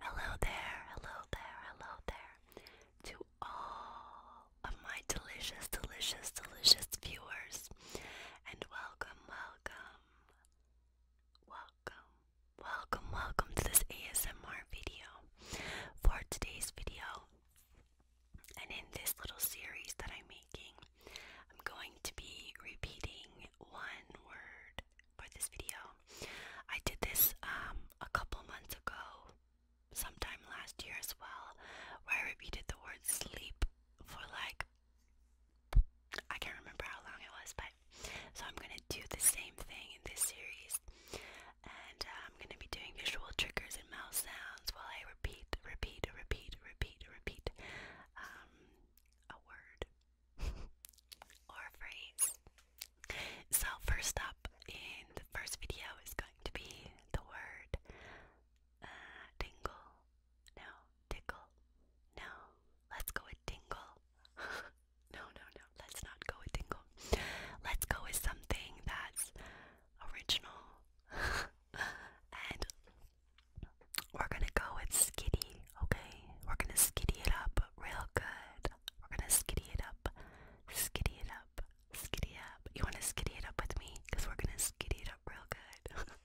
Hello there, hello there, hello there to all of my delicious, delicious, delicious viewers and welcome, welcome Welcome, welcome, welcome to this ASMR video. For today's video, and in this little series that I'm making, I'm going to be repeating one word for this video. I did this um, a couple months ago, sometime last year as well, where I repeated the word sleep for like I can't remember how long it was, but so I'm gonna do the same thing in this series, and uh, I'm gonna be doing visual triggers and mouth sounds while I repeat, repeat, repeat, repeat, repeat um, a word or a phrase. So first up in the first video is going to be the word uh, tingle, no, tickle, no, let's go with tingle. no, no, no, let's not go with tingle. Let's go with something that's original. and we're gonna go with skitty, okay? We're gonna skitty it up real good. We're gonna skitty it up, skitty it up, skitty up. You wanna skitty it up with me? Cause we're gonna skitty it up real good.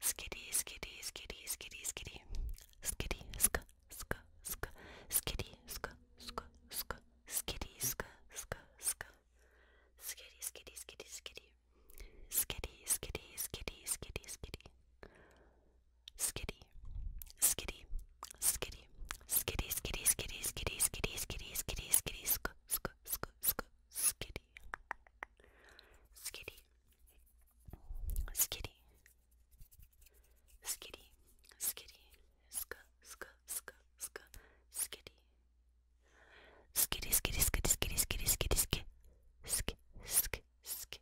Skitty, skitty, skitty, skitty, skitty. Skitty, sk, sk, sk. Skitty, sk, sk, sk. Skitty, sk, sk, sk. Skitty, skitty, skitty, skitty. Skitty, skitty, skitty, skitty, skitty. Skitty, skitty, skitty. Skitty, skitty, skitty, skitty, skitty, skitty, skitty, skitty, sk, sk, sk, sk. Skitty, skitty, skitty, skitty, skitty, sk, sk, sk, sk, skitty, skitty, skitty, skitty, skitty, skitty, skitty, sk, sk, sk, sk, skitty, skitty, skitty, skitty,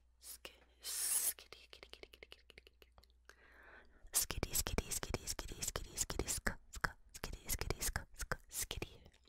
skitty, skitty, skitty, skitty, skitty, skitty, skitty, skitty, skitty,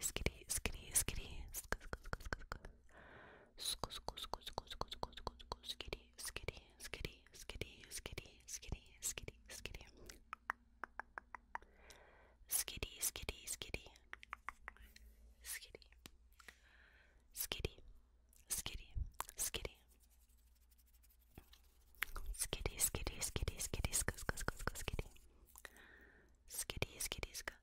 skitty, skitty, skitty, skitty, skitty, skitty, skitty, skitty, skitty, skitty, skitty, skitty. Skitty, skitty, skitty. Skitty. Skitty. Skitty. Skitty. Skitty, skitty, skitty, skitty, skitty, skitty, skitty. Skitty, skitty, skitty.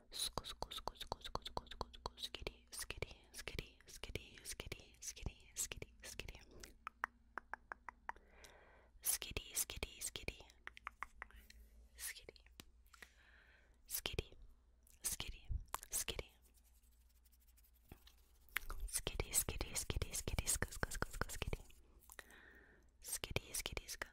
skitty, skitty, skitty, skitty, skitty, skitty, skitty, skitty. Skitty, skitty, skitty. Skitty. Skitty. Skitty. Skitty. Skitty, skitty, skitty, skitty, skitty, skitty, skitty. Skitty, skitty, skitty.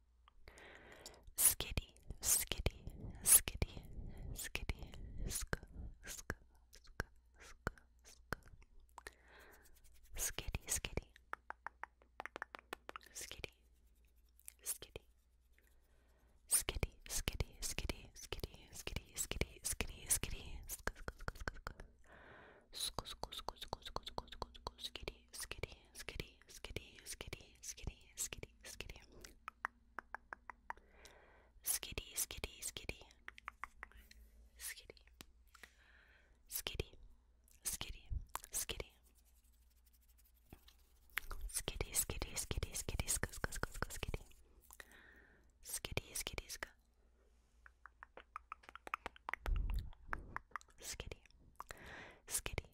skitty, skitty, skitty, skitty, sk, sk, sk, sk, sk, skitty, skitty, skitty, skitty, skitty, skitty, skitty, skitty, skitty, skitty, skitty, skitty, sk, sk, sk, sk, sk, sk, sk, sk, sk, sk, sk, sk, skitty, skitty, skitty, skitty, skitty, skitty, skitty, skitty. Skitty, skitty, skitty. Skitty. Skitty. Skitty. Skitty. Skitty, skitty, skitty, skitty, sk sk sk sk skitty. Skitty, skitty, sk. Skitty. Skitty.